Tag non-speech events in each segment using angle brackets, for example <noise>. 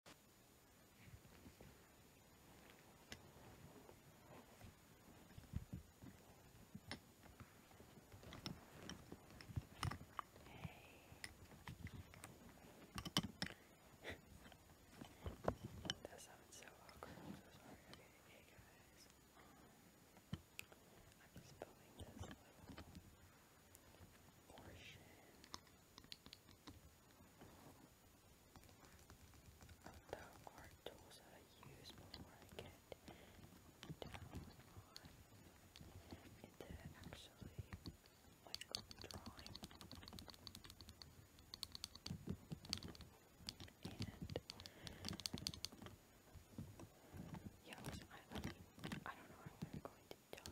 that sounds so awkward. I'm so sorry. Okay, hey guys. Um, I'm just building this little portion. There are tools I use before I get down into actually like drawing. And yeah, I, don't know how I'm going to talking drawing.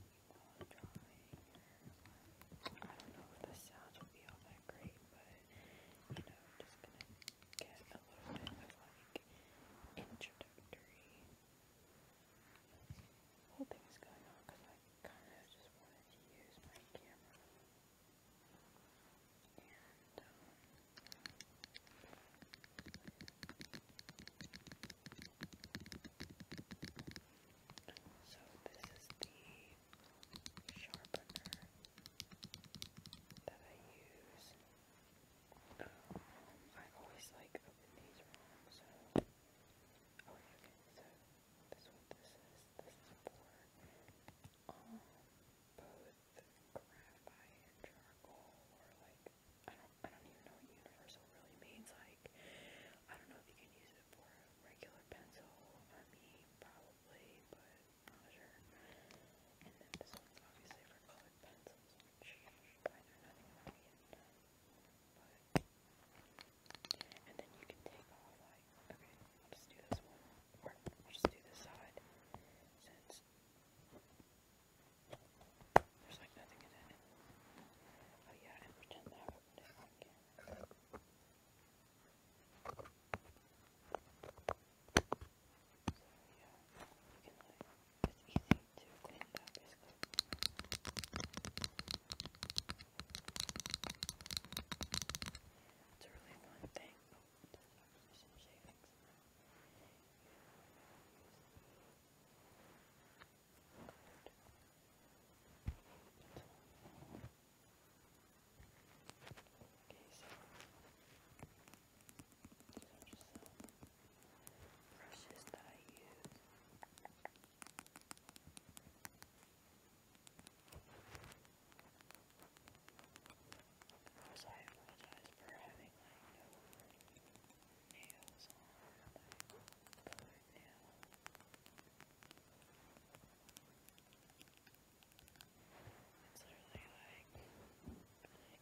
I don't know if the sounds will be all that great, but you know, I'm just gonna get a little bit of like introductory whole thing is going on because I kind of just wanted to use my camera. And um, so this is the sharpener that I use. Um, I always like open these wrong, okay, oh, okay, so this is what this is. both graphite and charcoal like I don't I don't even know what universal really means. Like I don't know if you can use for regular pencil, I mean, probably, but not sure. And then this one's obviously for colored pencils, which I know nothing about yet. But, and then you can take off, like, just do this one, or just do this side, since there's like nothing in it. Oh yeah, and pretend that I opened it. It's a really fun thing. Oh, there's some shavings. Now. Yeah, so those are some brushes that I use. Of course, I apologize for having like no nails on, like, color it's literally like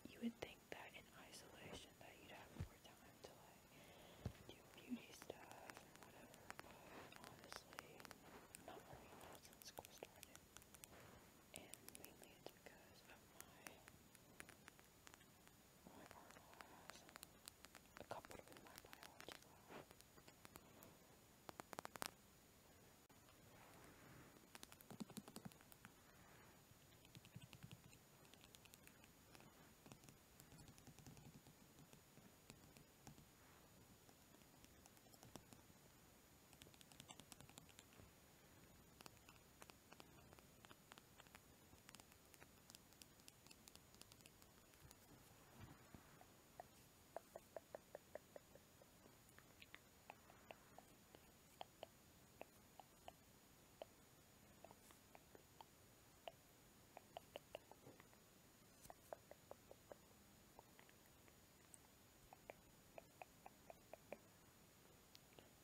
you would think that in isolation that you'd have more time to like do beauty stuff and whatever, but honestly, not really not since school started. And mainly it's because of my my partner has a couple in my biology lab. I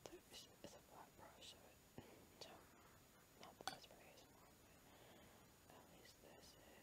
so it's, it's a white brush, so it, so <laughs> not Casper ASMR, but at least this is.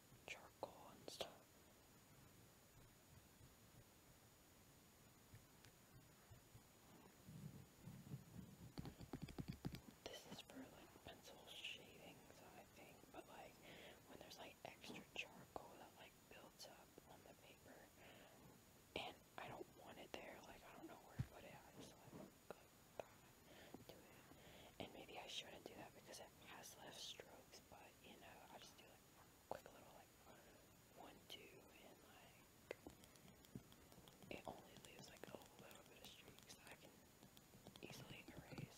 charcoal and stuff. This is for like pencil shavings, I think, but like when there's like extra charcoal that like builds up on the paper, and I don't want it there, like I don't know where to put it, I just like, do it. And maybe I shouldn't do that because that has left strokes, but you know, I just do like quick little like one, two, and like it only leaves like a little bit of streaks that I can easily erase.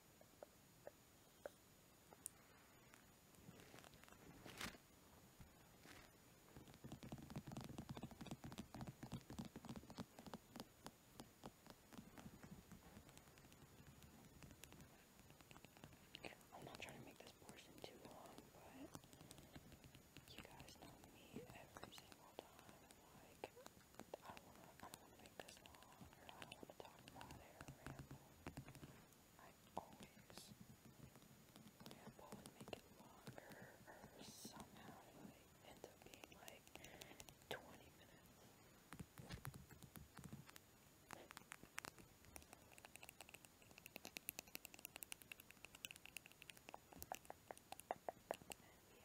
I'm not trying to make this portion too long, but you guys know me every single time. Like, I don't wanna, I don't wanna make this long, or I don't wanna talk about it I always ramble and make it longer, or somehow it up being like 20 minutes. And yeah, this thing,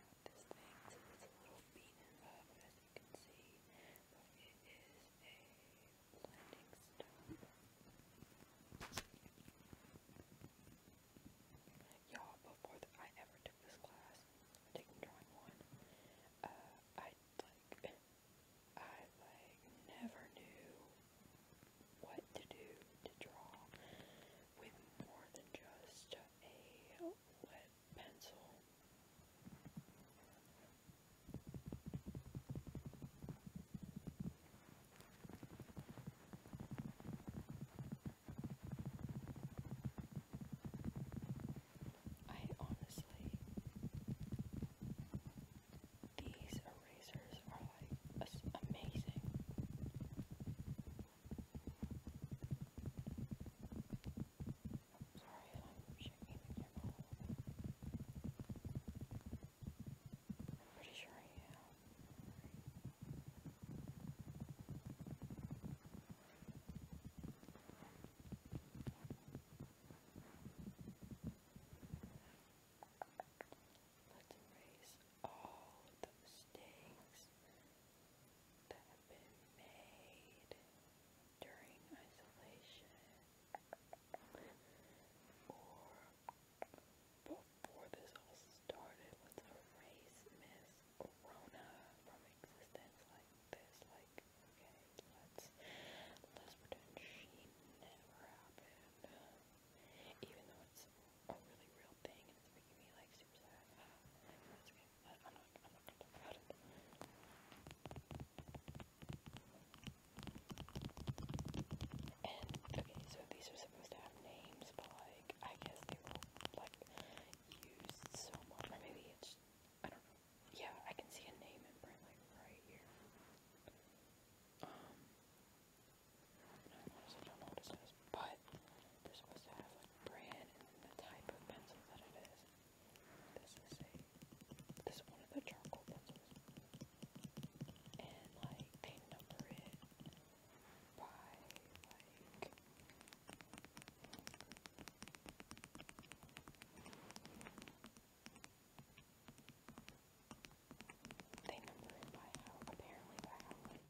so it's a little beaten up, can see, it is a blending stone. Y'all, before I ever took this class, taking drawing one, uh, I like, I like never knew what to do to draw with more than just a let pencil. I honestly, these erasers are like amazing. I'm shaking pretty sure I am. Let's erase all the mistakes that have been made during isolation before this all started was erase Miss Corona from existence like this, like okay, let's let's pretend she never happened. Even though it's a really real thing and it's making me like super sad. <sighs> I, I'm not, I'm not gonna talk about it. And, okay, so these are supposed to have names, but, like, I guess they were, like, used so much, or maybe it's, I don't know. Yeah, I can see a name imprint, like, right here. Um, and I also don't know what it says, but they're supposed to have, like, brand and the type of pencil that it is. This is a this is one of the charcoal pencils. And like they number it by like they number it by how apparently by how soft or hard that it is.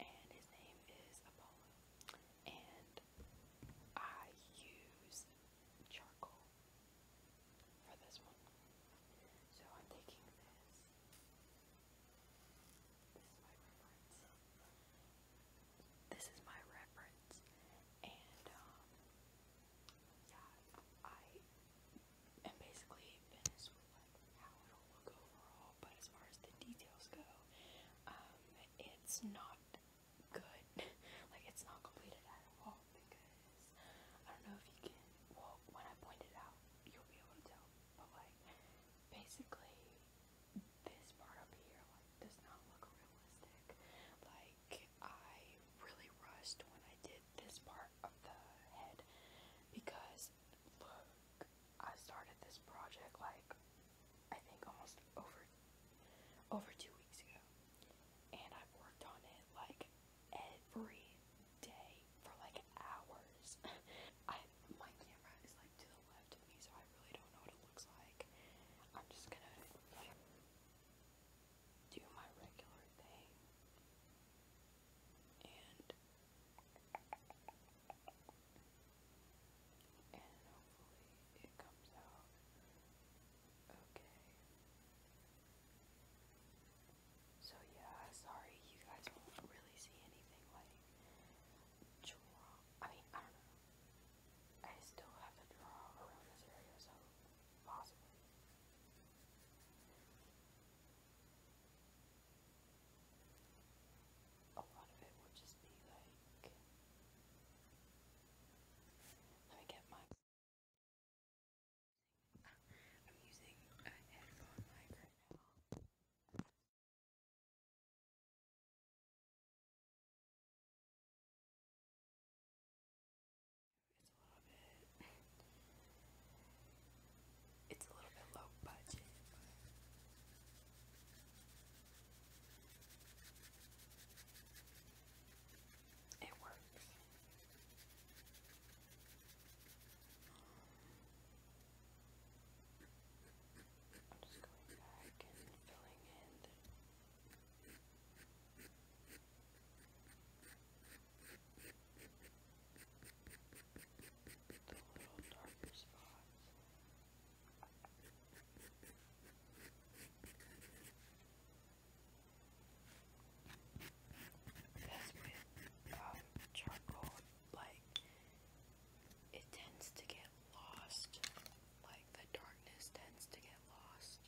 and his name is Apollo. And I use charcoal for this one. So I'm taking this. This is my reference. This is my reference. And, um, yeah, I am basically in like how it'll look overall, but as far as the details go, um, it's not good. like it's not completed at all because I don't know if you can. Well, when I point it out, you'll be able to tell. But like, basically, this part up here like does not look realistic. Like I really rushed when I did this part of the head because look, I started this project like I think almost over over two weeks ago. And I've worked on it like every day for like hours. <laughs> I my camera is like to the left of me so I really don't know what it looks like. I'm just gonna like do my regular thing and and hopefully it comes out okay. So yeah, sorry you guys won't really see anything like draw. I mean, I don't know. I still have to draw around this area, so possibly a lot of it will just be like, let me get my. I'm using a headphone mic right now. It's a little bit it's a little bit low budget. it works. I'm just going back and filling in the little darker spots. Because with charcoal, like, it tends to get lost. Like, the darkness tends to get lost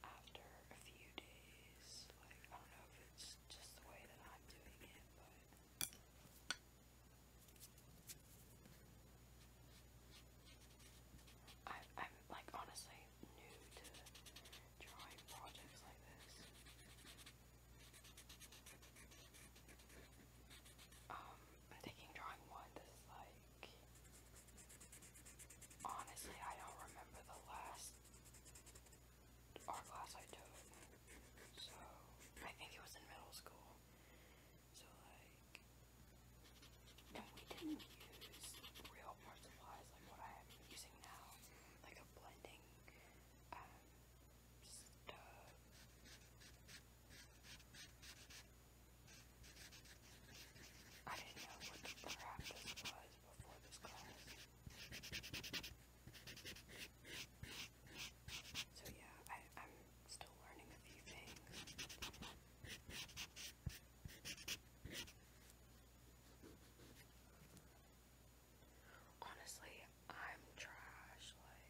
after a few days. Like, I don't know if it's just the way that I'm doing it, but I, am like honestly new to drawing projects like this. Um, taking drawing one. is like honestly, I don't remember the last our class I took. So, I think it was in middle school. So, like, and we didn't use real art supplies like what I am using now, like a blending um, I didn't know what the practice was before this class. So yeah, I, I'm still learning a few things. Honestly, I'm trash, like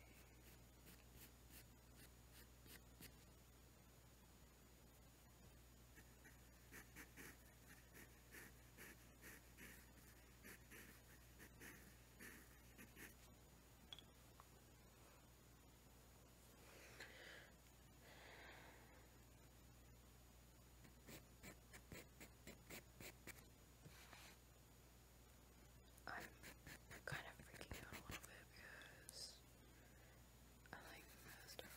I'm kind of freaking out a little bit because I like messed up.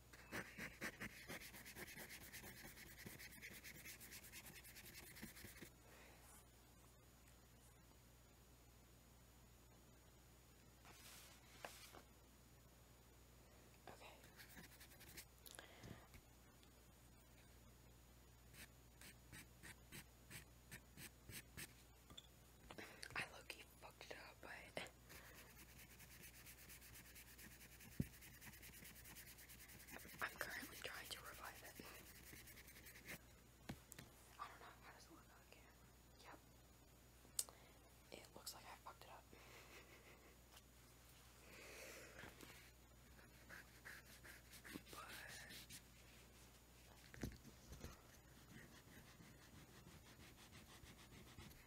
I low-key fucked it up, but I'm currently trying to revive it. I don't know, how does it look on Yep. It looks like I fucked it up. But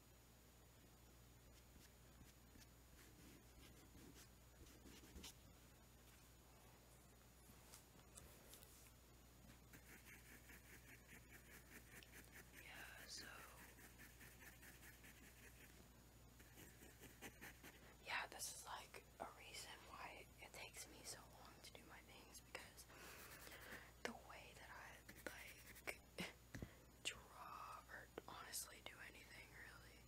Yeah, so yeah, this is like a reason why it takes me so long to do my things because the way that I like <laughs> draw or honestly do anything really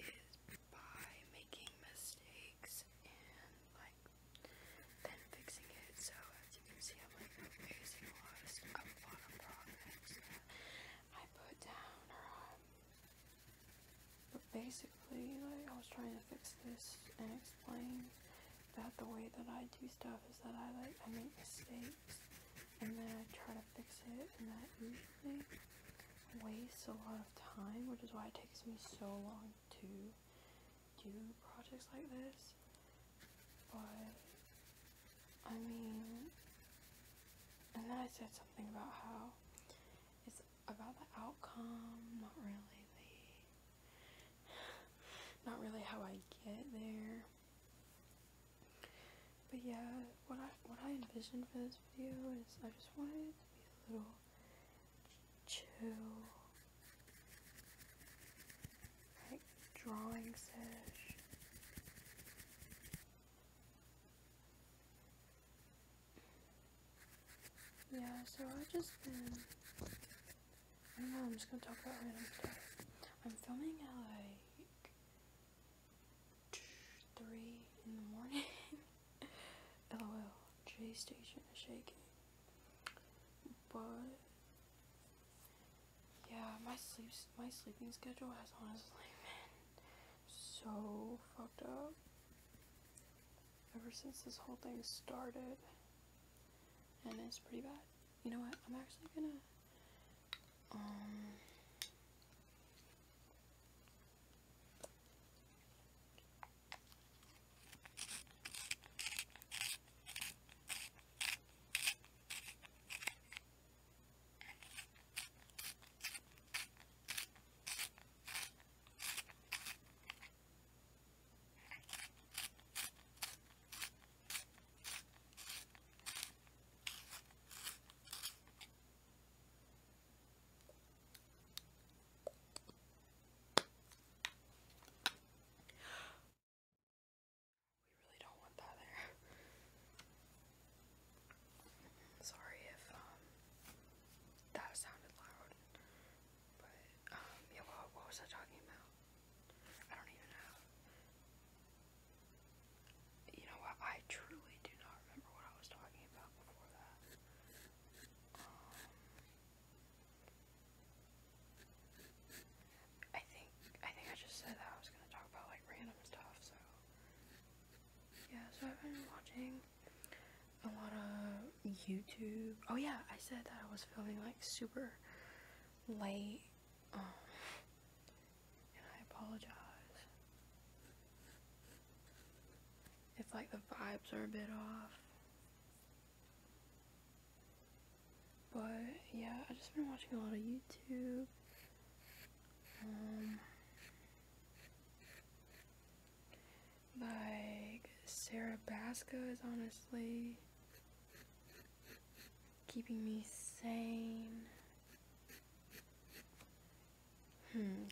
is by making mistakes and like then fixing it. So as you can see, I'm like fixing a lot of stuff, a lot of problems that I put down or but basically like I was trying to fix this and explain that the way that I do stuff is that I like I make mistakes and then I try to fix it and that usually wastes a lot of time which is why it takes me so long to do projects like this but I mean and then I said something about how it's about the outcome not really the <sighs> not really how I get there but yeah, what I what I envisioned for this video is I just wanted to be a little chill, like drawing session. Yeah, so I've just been I don't know, I'm just gonna talk about random stuff. I'm filming at like three in the morning. <laughs> LOL, J Station is shaking. But yeah, my sleep my sleeping schedule has honestly <laughs> been so fucked up ever since this whole thing started, and it's pretty bad. You know what? I'm actually gonna um, we really don't want that there. Sorry if um that sounded loud. But um yeah, what, was I talking about? I don't even know. You know what? I truly do not remember what I was talking about before that. Um, I think I think I just said that I was gonna talk about like random stuff. So yeah, so I've been watching a lot of YouTube. Oh yeah, I said that I was feeling like super late um, I apologize. If like the vibes are a bit off. But yeah, i just been watching a lot of YouTube. Um, like Sarah Basco is honestly keeping me sane. Hmm,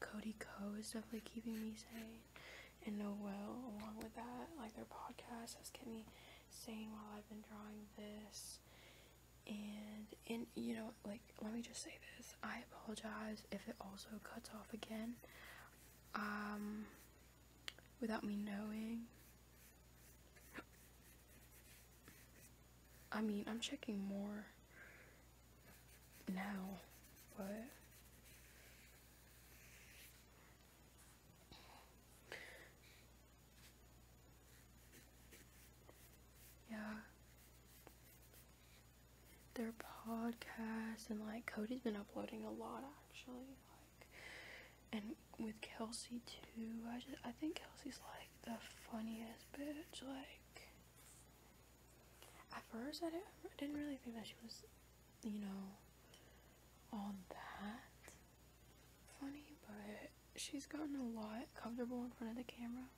Cody Co is definitely keeping me sane, and Noel along with that, like their podcast has kept me sane while I've been drawing this. And and you know, like let me just say this: I apologize if it also cuts off again. Um, without me knowing. I mean, I'm checking more now, but yeah, their podcasts and like Cody's been uploading a lot actually and with Kelsey too. I just I think Kelsey's like the funniest bitch. Like at first I didn't I didn't really think that she was, you know, all that funny, but she's gotten a lot comfortable in front of the camera.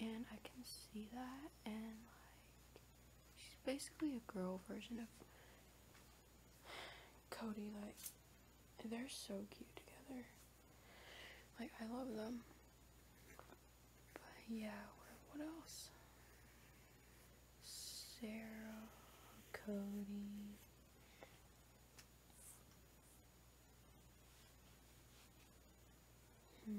And I can see that and like She's basically a girl version of Cody. Like, they're so cute together. Like, I love them. But yeah, what, else? Sarah, Cody. Hmm.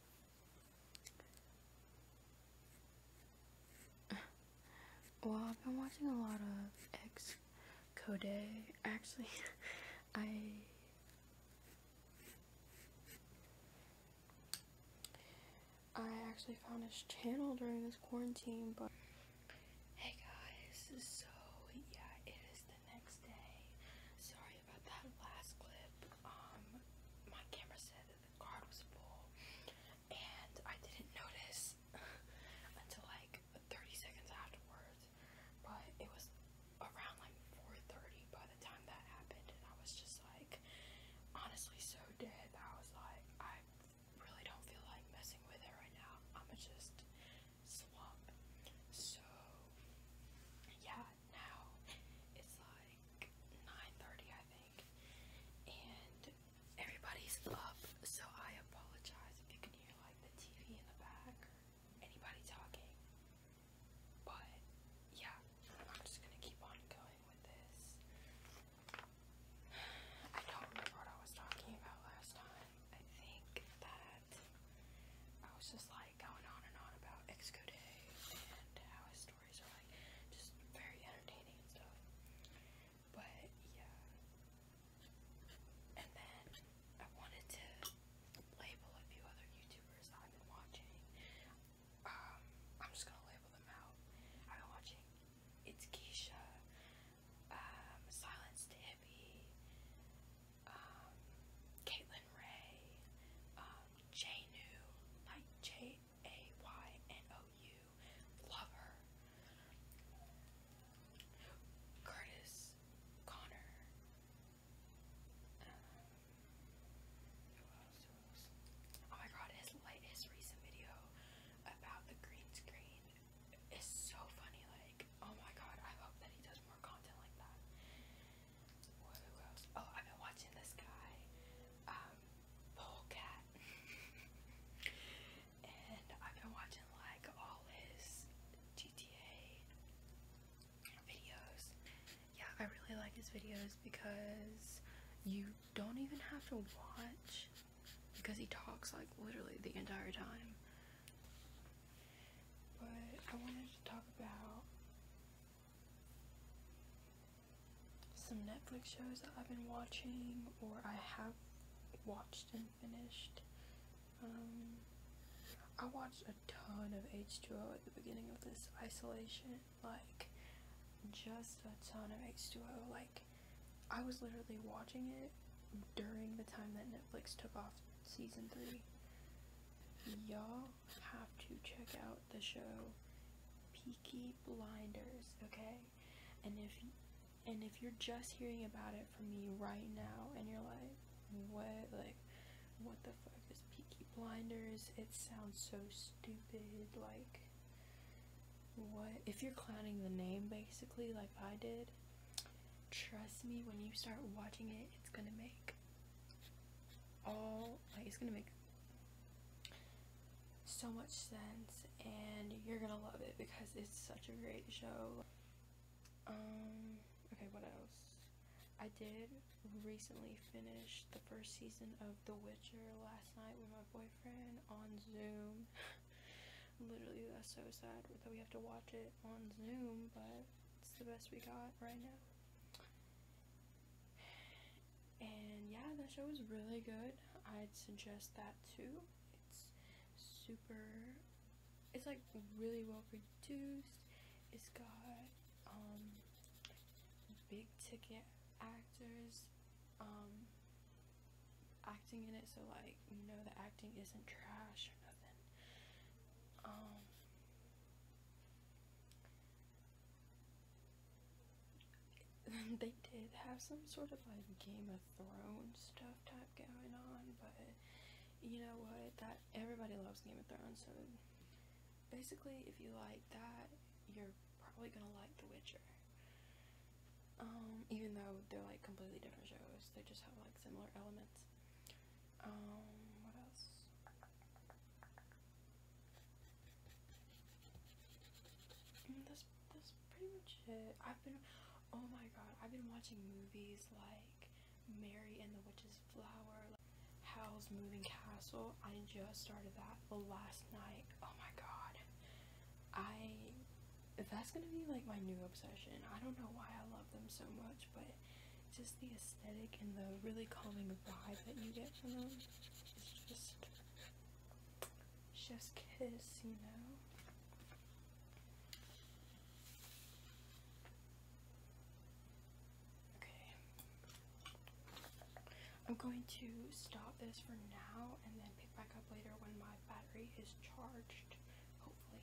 <sighs> well, I've been watching a lot of X Code. Actually, <laughs> I I actually found his channel during this quarantine, but hey guys, so yeah, it is the next day. Sorry about that last clip. Um, my camera said the card was full, and I didn't notice <laughs> until like 30 seconds afterwards. But it was around like 4:30 by the time that happened, and I was just like, honestly, so dead. I was like, I really don't feel like messing with it right now. I'ma just slump. So yeah, now. It's like 9:30, I think, and everybody's up. So I apologize if you can hear like the TV in the back or anybody talking. But yeah, I'm just gonna keep on going with this. I don't remember what I was talking about last time. I think that I was just like going on and on about Exco Day and how his store just very entertaining stuff. But yeah. And then I wanted to label a few other YouTubers I've been watching. Um, I'm just gonna label them out. I've been watching It's Keisha, um, Silence um, Caitlin Ray, um, Jaynu, like J A Y N O U, Lover. Curtis Connor. Um, oh my god, his latest recent video about the green screen is so funny. Like, oh my god, I hope that he does more content like that. Oh, I've been watching this guy, um, Polecat. <laughs> and I've been watching like all his GTA videos. Yeah, I really like his videos because you don't even have to watch because he talks like literally the entire time. But I wanted to talk about some Netflix shows that I've been watching or I have watched and finished. Um, I watched a ton of H2O at the beginning of this isolation, like just a ton of H2O. Like I was literally watching it during the time that Netflix took off season three. Y'all have to check out the show Peaky Blinders, okay? And if and if you're just hearing about it from me right now and you're like, what like what the fuck is Peaky Blinders? It sounds so stupid, like what if you're clowning the name basically like I did, trust me when you start watching it, it's gonna make Oh, it's gonna make so much sense and you're gonna love it because it's such a great show um okay what else I did recently finish the first season of The Witcher last night with my boyfriend on Zoom <laughs> literally that's so sad that we have to watch it on Zoom but it's the best we got right now and yeah, that show was really good. I'd suggest that too. It's super, it's like really well produced. It's got um, big ticket actors um, acting in it, so like, you know, the acting isn't trash or nothing. Um, um, they did have some sort of like Game of Thrones stuff type going on, but you know what? That everybody loves Game of Thrones, so basically, if you like that, you're probably gonna like The Witcher. Um, even though they're like completely different shows, they just have like similar elements. Um, what else? Mm, and that's pretty much it. I've been oh my god, I've been watching movies like Mary and the Witch's Flower, Howl's Moving Castle. I just started that the last night. Oh my god. I that's gonna be like my new obsession. I don't know why I love them so much, but just the aesthetic and the really calming vibe that you get from them is just chef's kiss, you know? Okay. I'm going to stop this for now and then pick back up later when my battery is charged, hopefully.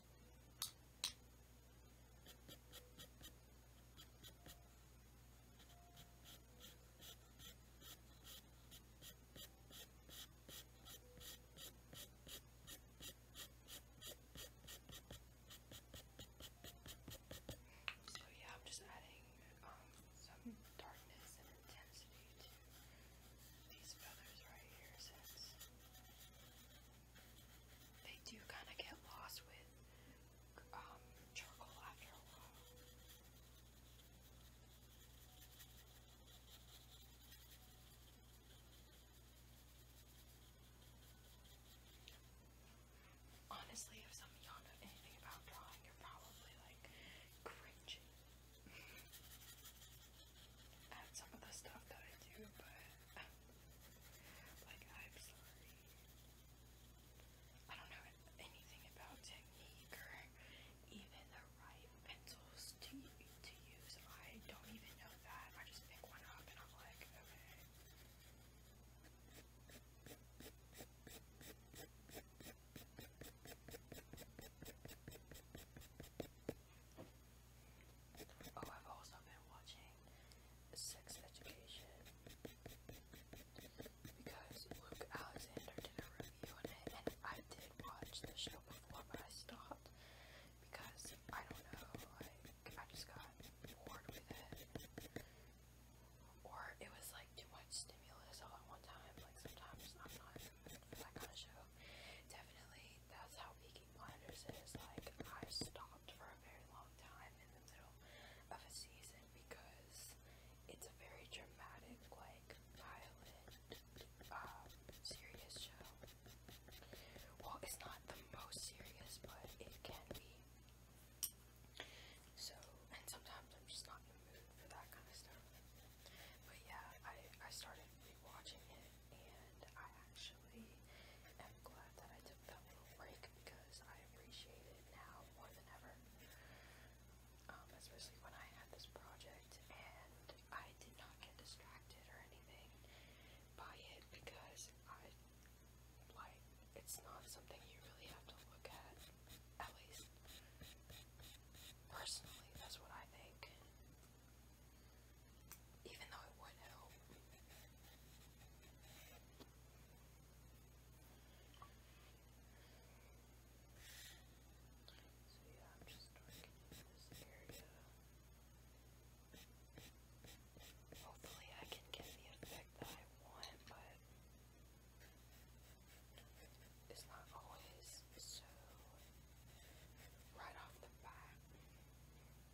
So yeah, I'm just adding um, some darkness and intensity to these feathers right here since they do kind of get lost with um, charcoal after a while. Honestly, if some of you about drawing, you're probably like cringing <laughs> at some of the stuff that I do, but. Um, like, I'm sorry. I don't know anything about technique or even the right pencils to, to use. I don't even know that. I just pick one up and I'm like, okay. Oh, I've also been watching Sex Education because Luke Alexander did a review on it, and I did watch the show before, but I stopped because I don't know, like, I just got bored with it. Or it was like too much stimulus all at one time. Like, sometimes I'm not in the mood for that kind of show. Definitely, that's how Peaky Peaky is like I stopped for a very long time in the middle of a season because it's a very dramatic, like violent, um, serious show. Well, it's not the most serious, but it can be. So, and sometimes I'm just not in mood for that kind of stuff. But yeah, I I started rewatching it and I actually am glad that I took that little break because I appreciate it now more than ever. Um, especially when I had this project and I did not get distracted or anything by it because I like it's not something you really have to look at. At least personally, that's what I think. Even though it would help. So yeah, I'm just working this area. Hopefully I can get the effect that I want, but it's not always so right off the bat.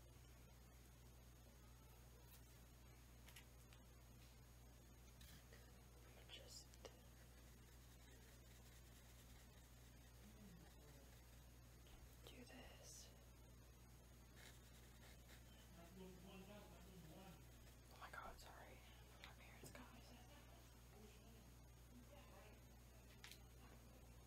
I'm just do this. Oh my god, sorry. My parents got me.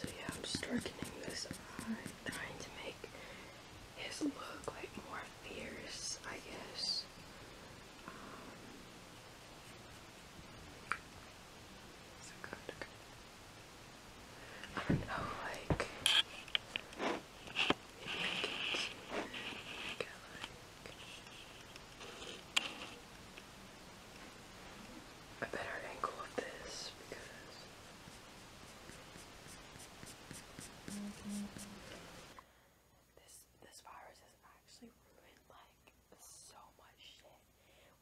So yeah, I'm just darkening this eye, trying to make his look like more fierce, I guess. so um, good. I don't know, like maybe it, like, like a better angle of this because this this virus has actually ruined like so much shit.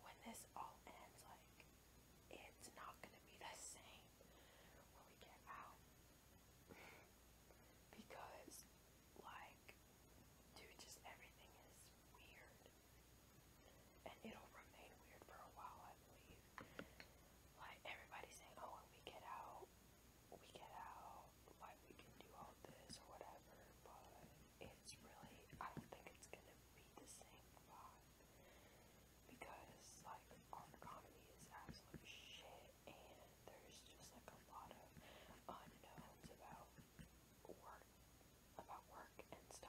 When this all ends, like it's not gonna be the same when we get out <laughs> because like dude, just everything is weird. And it'll remain weird for a while, I believe. Like, everybody's saying, oh, when we get out, we get out, like, we can do all this or whatever, but it's really, I don't think it's gonna be the same vibe. Because, like, our comedy is absolute shit, and there's just, like, a lot of unknowns about work about work and stuff.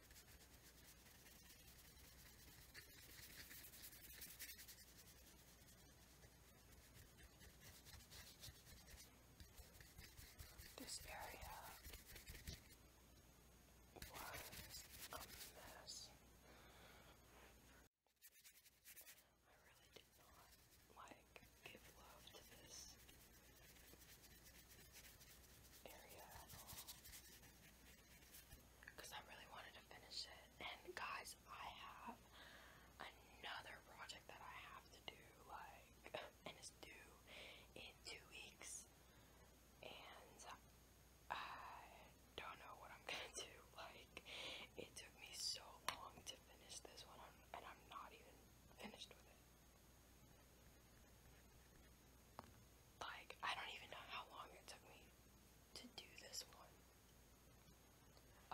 This area was a mess. I really did not like give love to this area at all because I really wanted to finish it. And guys, I have another project that I have to do, like, <laughs> and it's due in two weeks. And I don't know what I'm <laughs> gonna do. Like, it took me so long to finish this one, and I'm not even finished with it. Like, I don't even know how long it took me to do this one.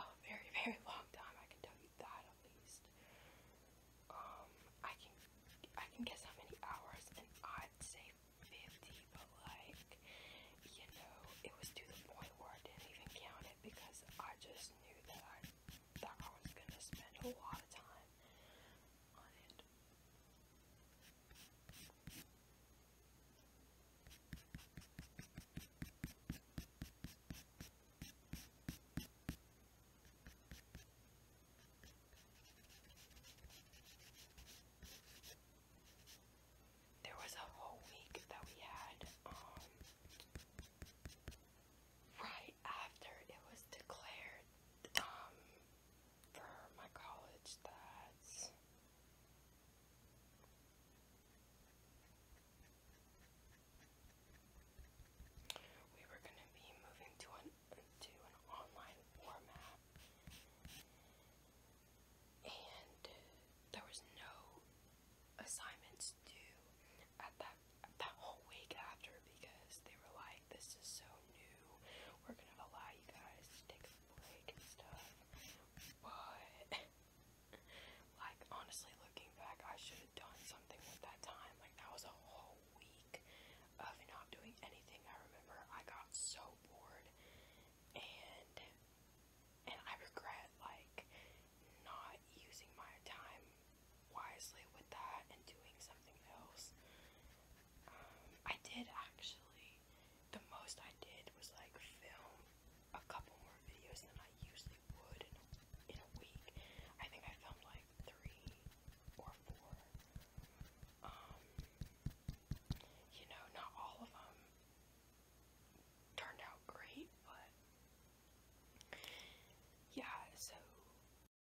A very, <laughs> very long time, I can tell you that at least. Um, I can, I can guess how many hours, and I'd say 50, but like, you know, it was to the point where I didn't even count it because I just knew that I, that I was gonna spend a lot of time on it. There was a whole week that we had, um, right after it was declared, um, for my college that's we were going to be moving to an to an online format and there was no assignments due at that that whole week after because they were like this is so new we're going to allow you guys take stuff, but like honestly looking back, I should have done something with that time. Like that was a whole week of not doing anything. I remember I got so bored and and I regret like not using my time wisely with that and doing something else. Um, I did actually the most I did was like film a couple more videos than I usually would in a, in a week. I think I filmed like three or four. Um, you know, not all of them turned out great, but yeah, so